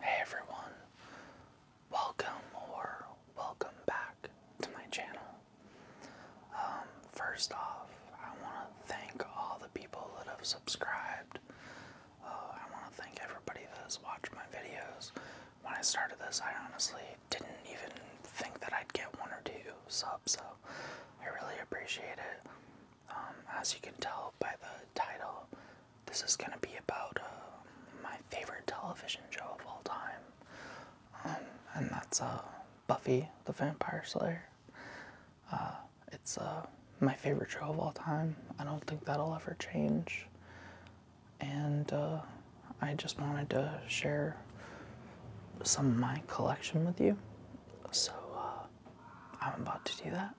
Hey everyone, welcome or welcome back to my channel. Um, first off, I want to thank all the people that have subscribed. Uh, I want to thank everybody that has watched my videos. When I started this, I honestly didn't even think that I'd get one or two subs, so I really appreciate it. Um, as you can tell by the title, this is going to be about uh, my favorite television show of all time. Um, and that's uh, Buffy the Vampire Slayer. Uh, it's my favorite show of all time. I don't think that'll ever change. And I just wanted to share some of my collection with you. So I'm about to do that.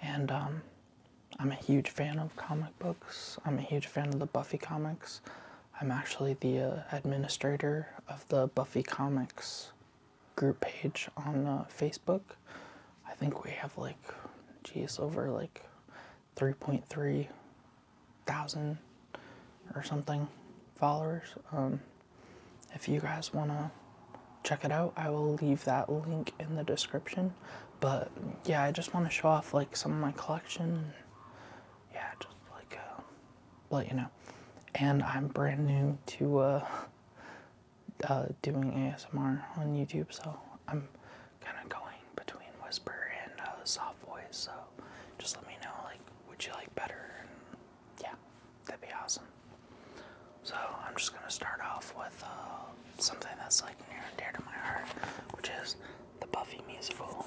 And um, I'm a huge fan of comic books. I'm a huge fan of the Buffy comics. I'm actually the uh, administrator of the Buffy Comics group page on uh, Facebook. I think we have like, geez, over like 3.3 thousand or something followers. Um, if you guys want to check it out, I will leave that link in the description. But yeah, I just want to show off like some of my collection. Yeah, just like uh, let you know. And I'm brand new to uh, uh, doing ASMR on YouTube, so I'm kind of going between whisper and uh, soft voice. So just let me know like, would you like better? yeah, that'd be awesome. So I'm just gonna start off with uh, something that's like near and dear to my heart, which is the Buffy musical.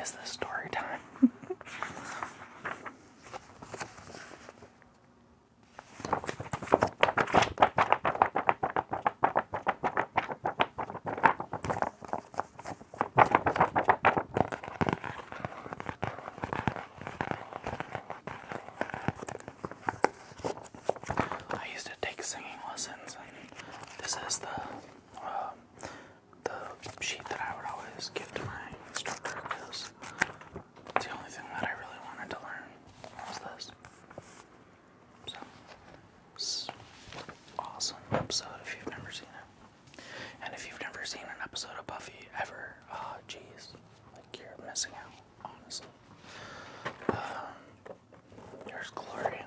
Is the story time? I used to take singing lessons, and this is the uh, the sheet that I would always give to my instructor because the only thing that I really wanted to learn was this. So, awesome episode if you've never seen it. And if you've never seen an episode of Buffy ever, oh uh, jeez, like you're missing out, honestly. Um, there's Gloria.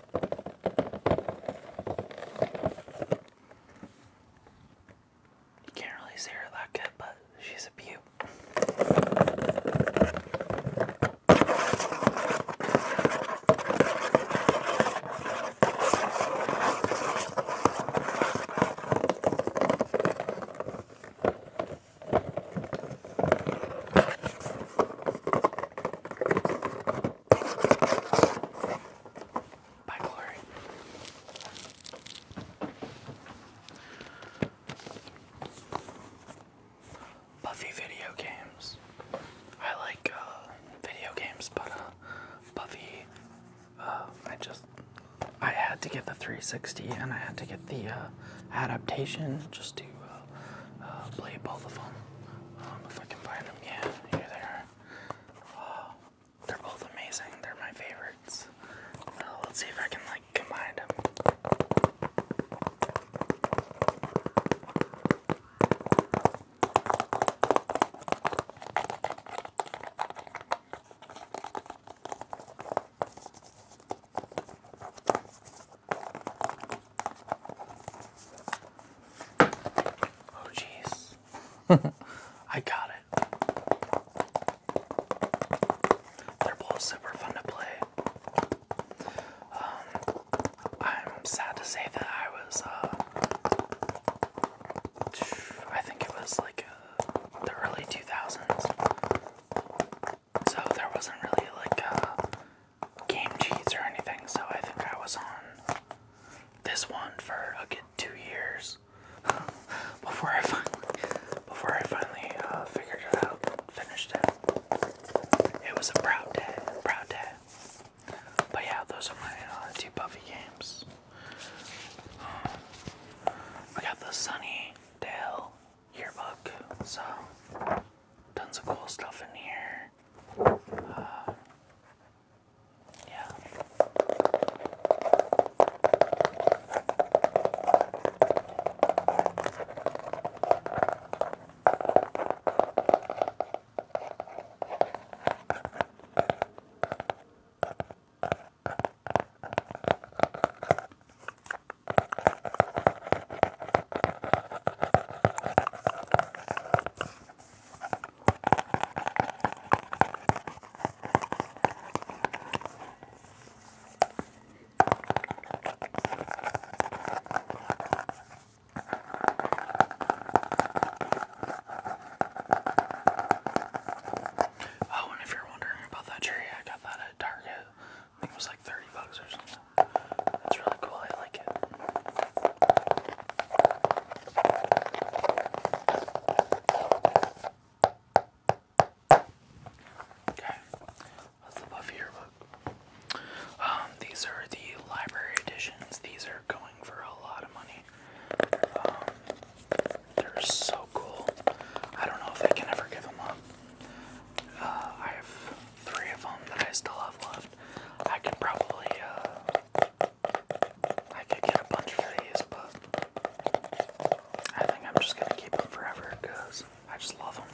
You can't really see her that good, but she's a beauty. By glory. Buffy video games. I like uh, video games, but uh, Buffy. Uh, I just I had to get the 360 and I had to get the adaptation just to uh, play both of them. Um, if I can find them, yeah, here they are. Uh, they're both amazing. They're my favorites. Uh, let's see if I can like combine them. Oh, jeez. I got it. They're both super fun to play. Um, I'm sad to say that I was, uh, I think it was like uh, the early 2000s. So there wasn't really like uh, game cheats or anything, so I think I was on this one for a good two years before I finally before I finally figured it out, finished it. It was a proud day, proud day. But yeah, those are my uh, two Buffy games. Um, I got the Sunny yearbook. So, tons of cool stuff in here. Uh, yeah. Oh, and if you're wondering about that cherry, I got that at Target. I think it was like 30 bucks or something. It's really cool. I like it. Okay, that's the Buffy yearbook. Um, these are the library editions. These are going for a lot of money. Um, they're so cool. I don't know if I can ever give them up. Uh, I have three of them that I still have left. I could probably, uh, I could get a bunch of these, but I think I'm just gonna keep them forever because I just love them.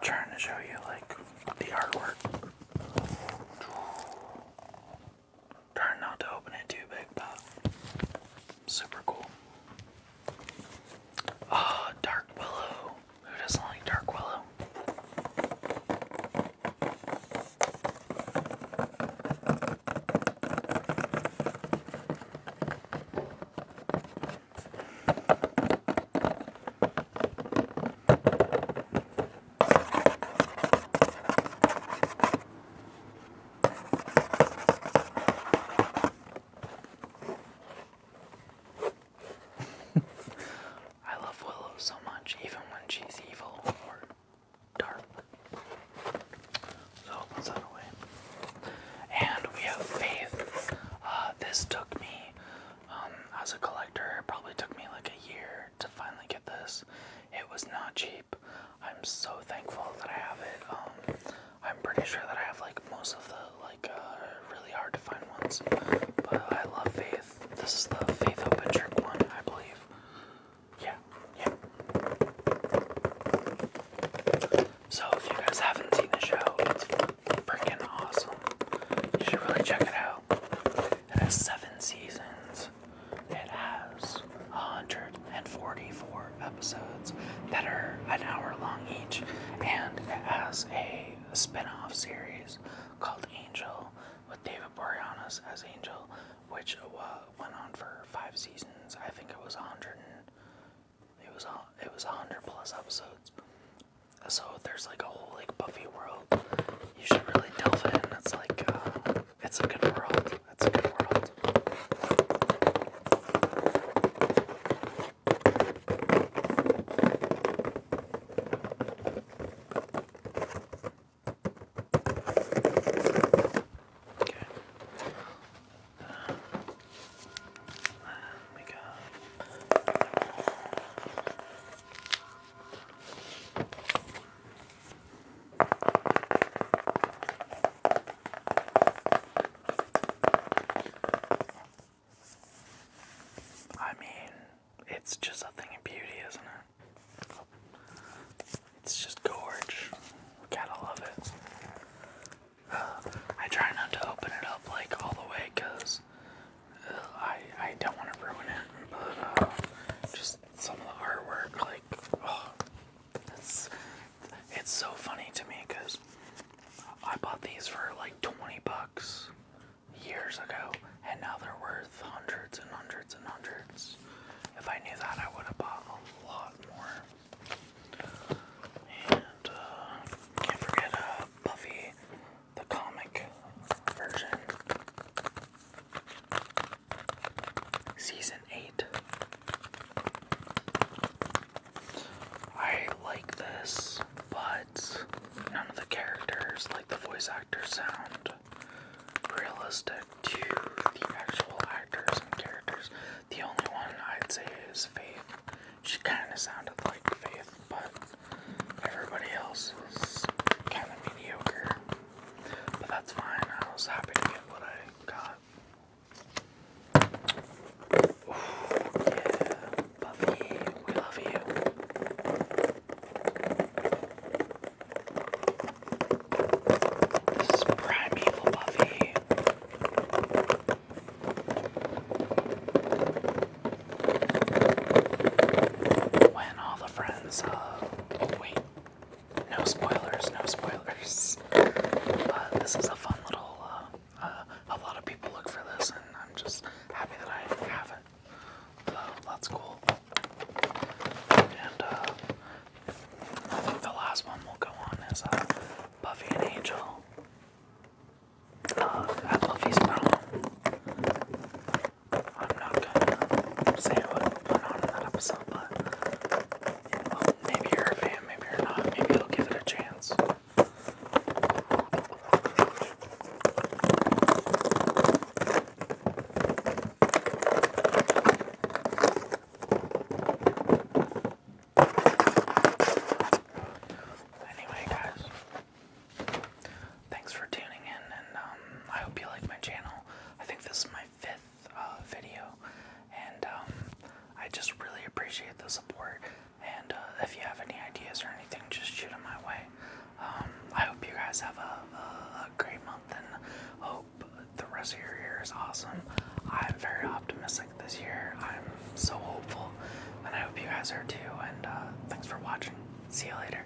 trying to show you like the artwork. Trying not to open it too big, but super cool. Ah, dark willow. Who doesn't like dark willow? I love Willow so much, even when she's evil or dark. So that's that away. And we have Faith. Uh, this took me, um, as a collector, it probably took me like a year to finally get this. It was not cheap. I'm so thankful that I have it. Um, I'm pretty sure that I have like most of the like uh, really hard to find ones, but I love Faith. This is the Faith Open Drink one, I believe. Yeah, yeah. So if you guys haven't seen the show, it's freaking awesome. You should really check it out. It has seven seasons. It has 144 episodes that are an hour long each, and it has a spin off series called Angel with David Boreanaz as Angel, which uh, went on for five seasons. I think it was 100. it was it was 100 plus episodes. So there's like a whole like Buffy world. You should really delve in. It's like uh, it's a good world. It's a good world. Okay. Um, we got. I mean, it's just a thing of beauty, isn't it? It's just gorge. Gotta love it. I try not to open it up like all the way because uh, I, I don't want to ruin it, but uh, just some of the artwork, like, it's, it's so funny to me because I bought these for like 20 bucks years ago and now they're worth hundreds and hundreds and hundreds. If I knew that, I would have bought a lot more. And uh, can't forget uh, Buffy the comic version. Season 8. I like this, but none of the characters, like the voice actors, sound realistic to the actual actors and characters. The only one I'd say is Faith. She kind of sounded like Faith, but everybody else is kind of mediocre. But that's fine. I was happy to get what I got. yeah, Buffy, we love you. This is primeval Buffy. When all the friends, uh, oh wait, no spoilers, no spoilers. But this is a fun little. Uh, uh, a lot of people look for this, and I'm just happy that I have it. Uh, that's cool. And uh, I think the last one we'll go on is uh, Buffy and Angel. Uh, at Buffy's prom. I'm not gonna say what went on that episode, but maybe you're a fan, maybe you're not, maybe you'll give it a chance. Anyway, guys, thanks for tuning in, and um, I hope you like my channel. I think this is my fifth uh, video, and um, I just really appreciate the support. And uh, if you have any ideas or anything, just shoot them my way. Um, I hope you guys have a, great month, and hope the rest of your year is awesome. I'm very optimistic this year. I'm so hopeful, and I hope you guys are too. And uh, thanks for watching. See you later.